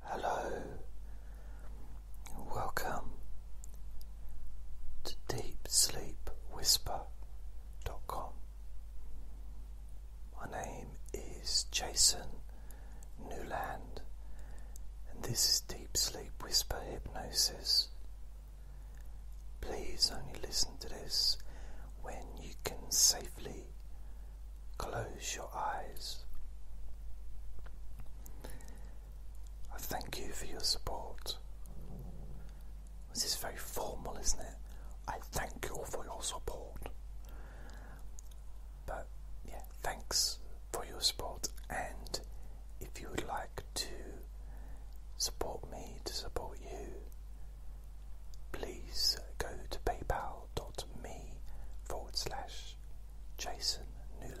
Hello, welcome to DeepSleepWhisper.com. My name is Jason Newland, and this is Deep Sleep Whisper Hypnosis. Please only listen to this when you can safely close your eyes. I thank you for your support. This is very formal, isn't it? I thank you for your support. But yeah, thanks for your support. And if you would like to support me, to support you, please go to PayPal dot me forward slash Jason Newland.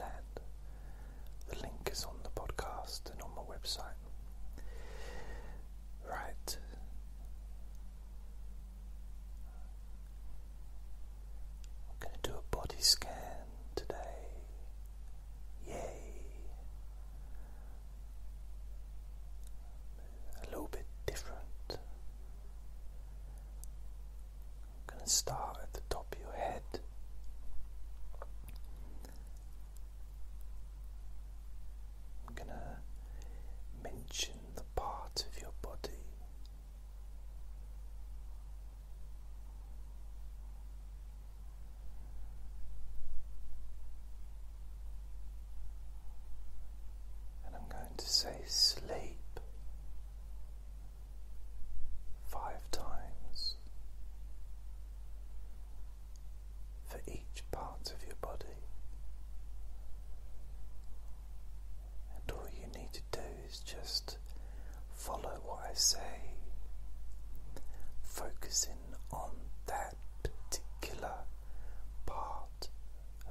The link is on the podcast and on my website. Right. going to do a body scan today. Yay! A little bit different I'm going to start at the top of your head. I'm going to mention the part of your body and I'm going to say sleep five times for each part of your body. And all you need to do is just follow what I say, focusing on that particular part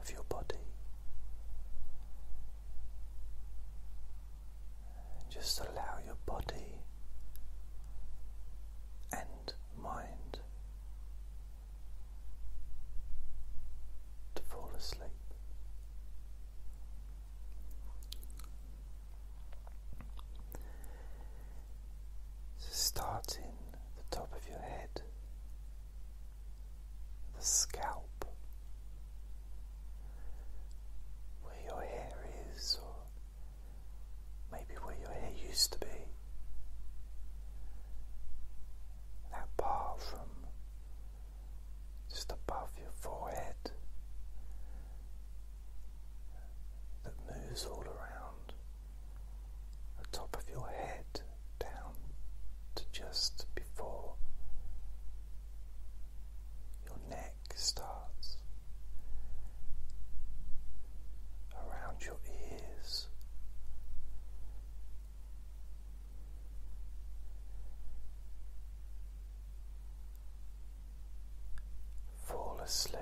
of your body. just allow your body and mind to fall asleep. So the top of your head the scalp, where your hair is, or maybe where your hair used to be. That part from just above your forehead that moves all around the top of your head down to just before your neck starts, around your ears. Fall asleep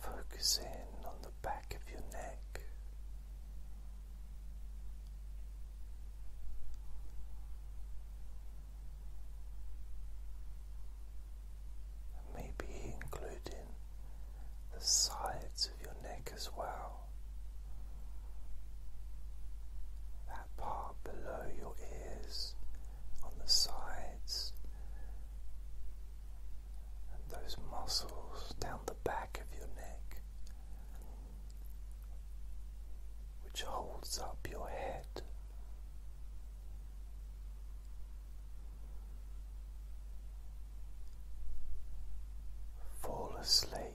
Focus in on the back of your neck. maybe including the sides of your neck as well that part below your ears, on the sides, and those muscles down the back of your neck, which holds up your head. Fall asleep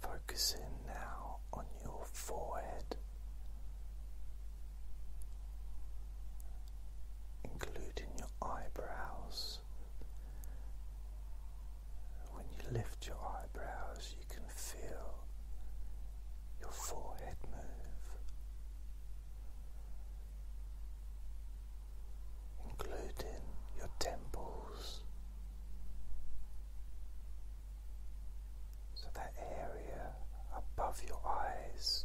Focusing now on your forehead, including your eyebrows when you lift your eyebrows, you can feel your forehead move. Including your temples, so that area above your eyes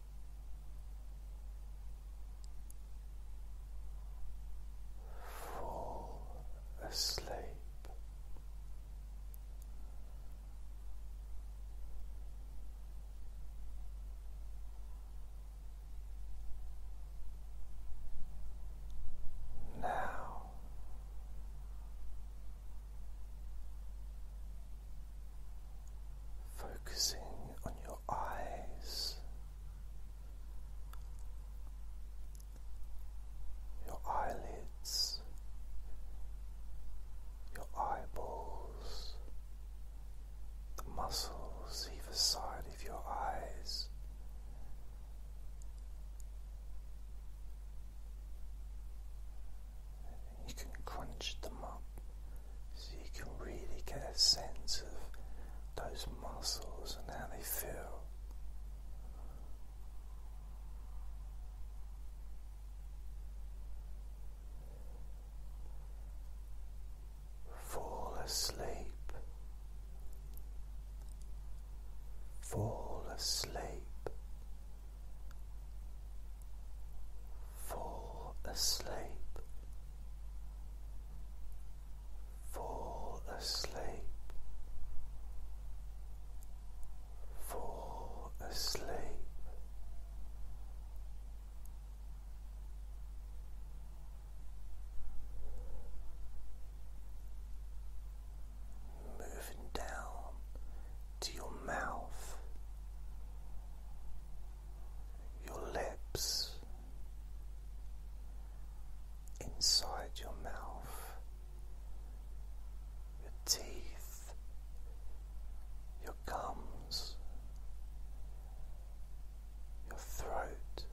fall asleep. Now Focusing on your eyes, your eyelids, your eyeballs, the muscles either side of your eyes you can crunch them up so you can really get a sense of those muscles and how they feel. Fall asleep. Fall asleep. Fall asleep, fall asleep, fall asleep. Moving down to your mouth, your lips, inside your mouth, your teeth, your gums, your throat,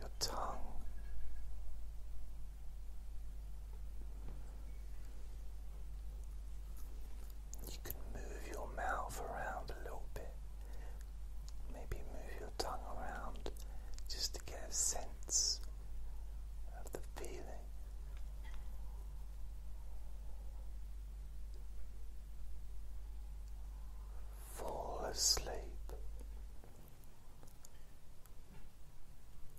your tongue. You can move your mouth around a little bit, maybe move your tongue around just to get a sense of the feeling. Fall asleep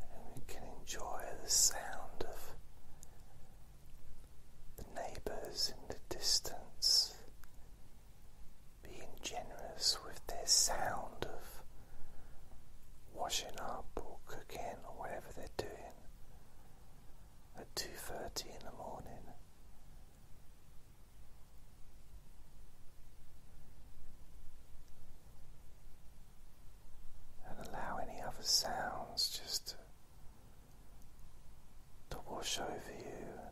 and we can enjoy the sound of the neighbours in the distance being generous with their sound of washing up or cooking or whatever they're doing at 2.30 in the morning and allow any other sounds just to, wash over you and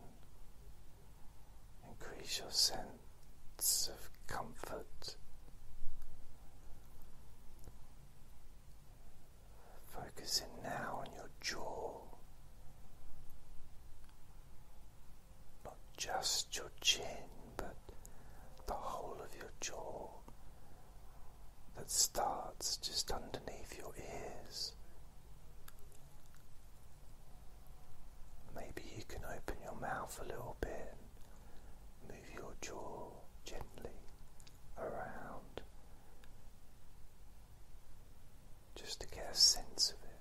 increase your sense of comfort. Focusing now on your jaw, not just your chin but the whole of your jaw that starts just underneath your ears. Maybe you can open your mouth a little bit move your jaw gently around just to get a sense of it.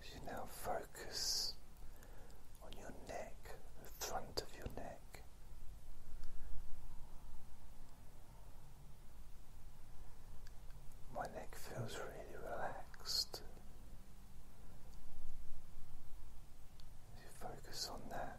as you now focus on your neck, the front of your neck, my neck feels really relaxed. As you focus on that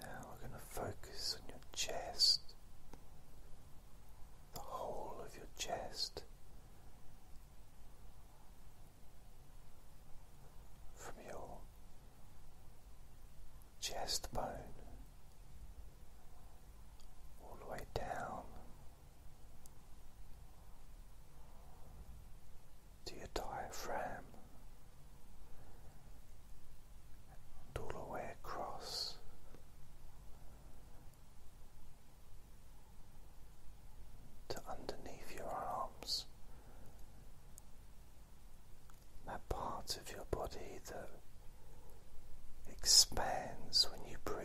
Now we're going to focus on your chest, the whole of your chest, from your chest bone all the way down to your diaphragm and all the way across. To underneath your arms, that part of your body that expands when you breathe,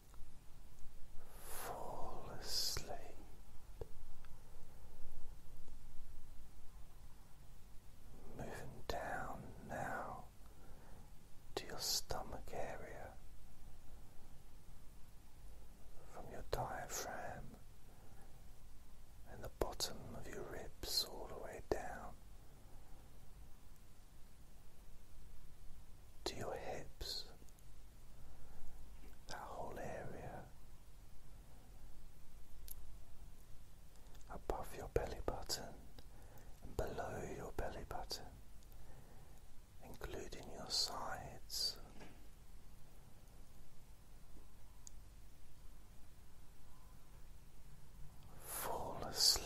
fall asleep. Moving down now to your stomach area from your diaphragm and the bottom of your ribs all the way down to your hips that whole area above your belly button below your belly button, including your sides. Fall asleep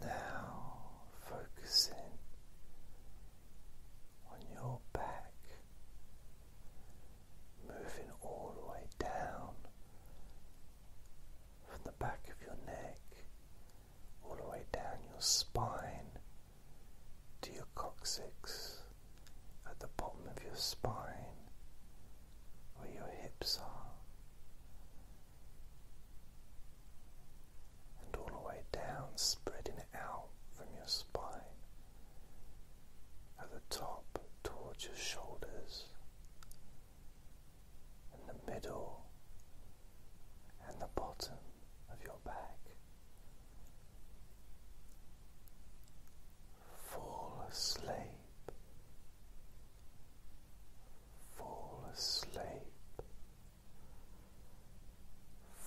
Now focusing on your back, moving all the way down from the back of your neck, all the way down your spine to your coccyx at the bottom of your spine where your hips are and all the way down, spreading out from your spine at the top towards your shoulders and the middle and the bottom of your back. Fall asleep. Fall asleep.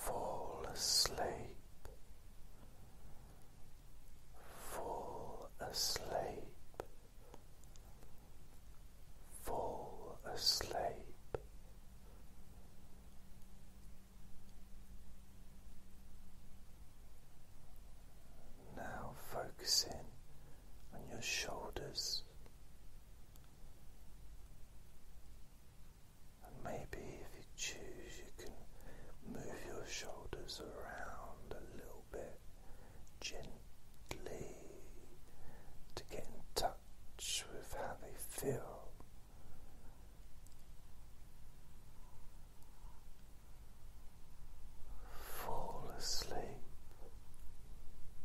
Fall asleep, fall asleep, fall asleep. Now focusing on your shoulders. And maybe if you choose, you can move your shoulders around a little bit gently to get in touch with how they feel. Fall asleep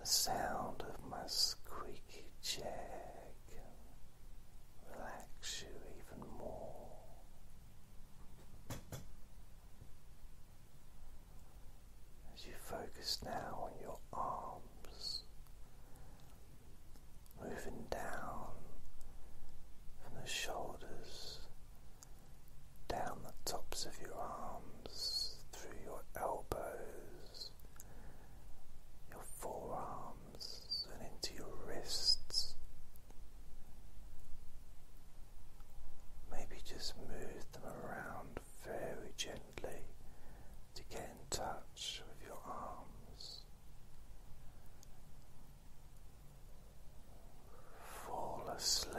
the sound of my squeaky chair can you even more. As you focus now on your arms, moving down from the shoulders down the tops of your arms, through your elbows, your forearms, and into your wrists. Maybe just move them around very gently to get in touch with your arms. Fall asleep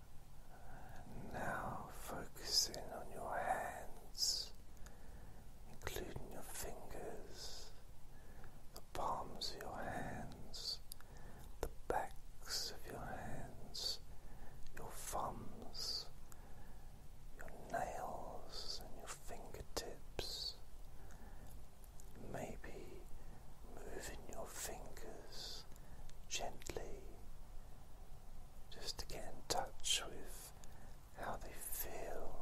And now focusing on your hands, including your fingers, the palms of your hands, the backs of your hands, your thumbs, your nails, and your fingertips. Maybe moving your fingers gently just to get in touch with how they feel.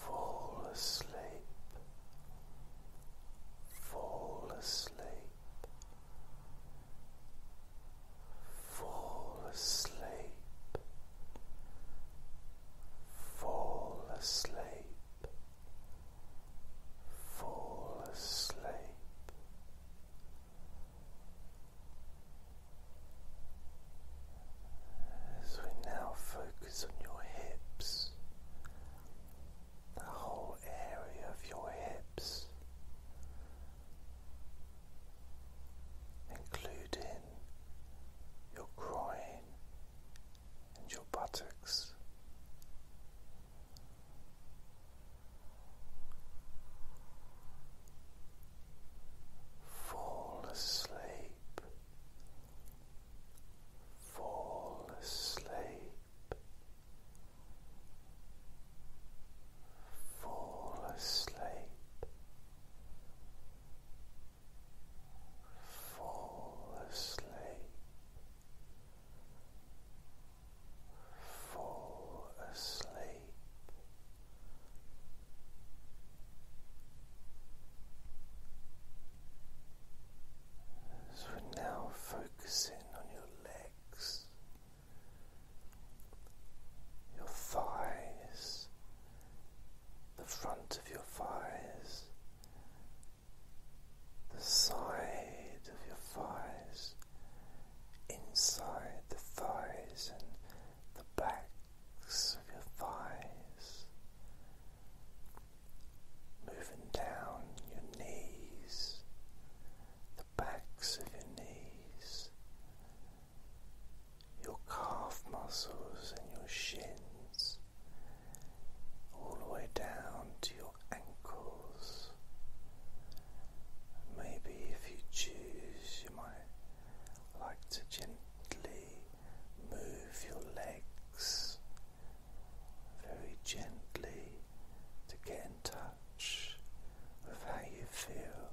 Fall asleep. Fall asleep. Fall asleep. Fall asleep fall asleep. As we now focus on your hips, the whole area of your hips, including your groin and your buttocks. Fall asleep, fall asleep, fall asleep, fall asleep, fall asleep. So we're now focusing on your legs, your thighs, the front of your thighs, the side of your thighs, inside the thighs and the backs of your thighs, moving down your knees, the backs of your knees, your calf muscles and your shins all the way down to your ankles. Maybe if you choose, you might like to gently move your legs very gently to get in touch with how you feel.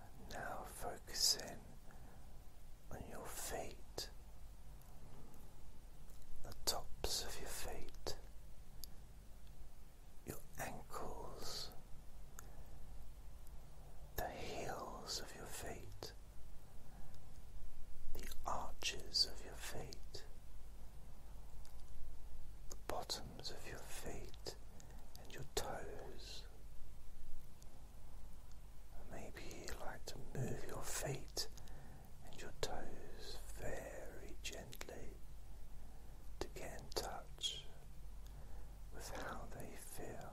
And now focusing on your feet, the tops of your feet, your ankles, the heels of your feet, the arches of your feet, the bottom of your feet and your toes. Maybe you like to move your feet and your toes very gently to get in touch with how they feel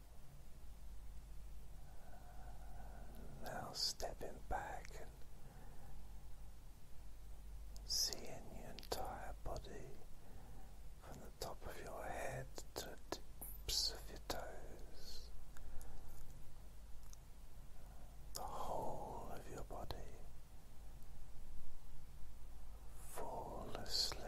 Now stepping back and seeing your entire body from the top of your head to the tips of your toes, the whole of your body. Fall asleep,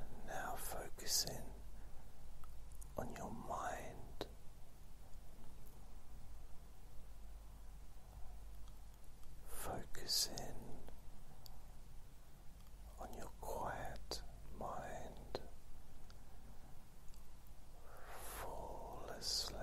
And now focusing on your mind. Focusing on your quiet mind, fall asleep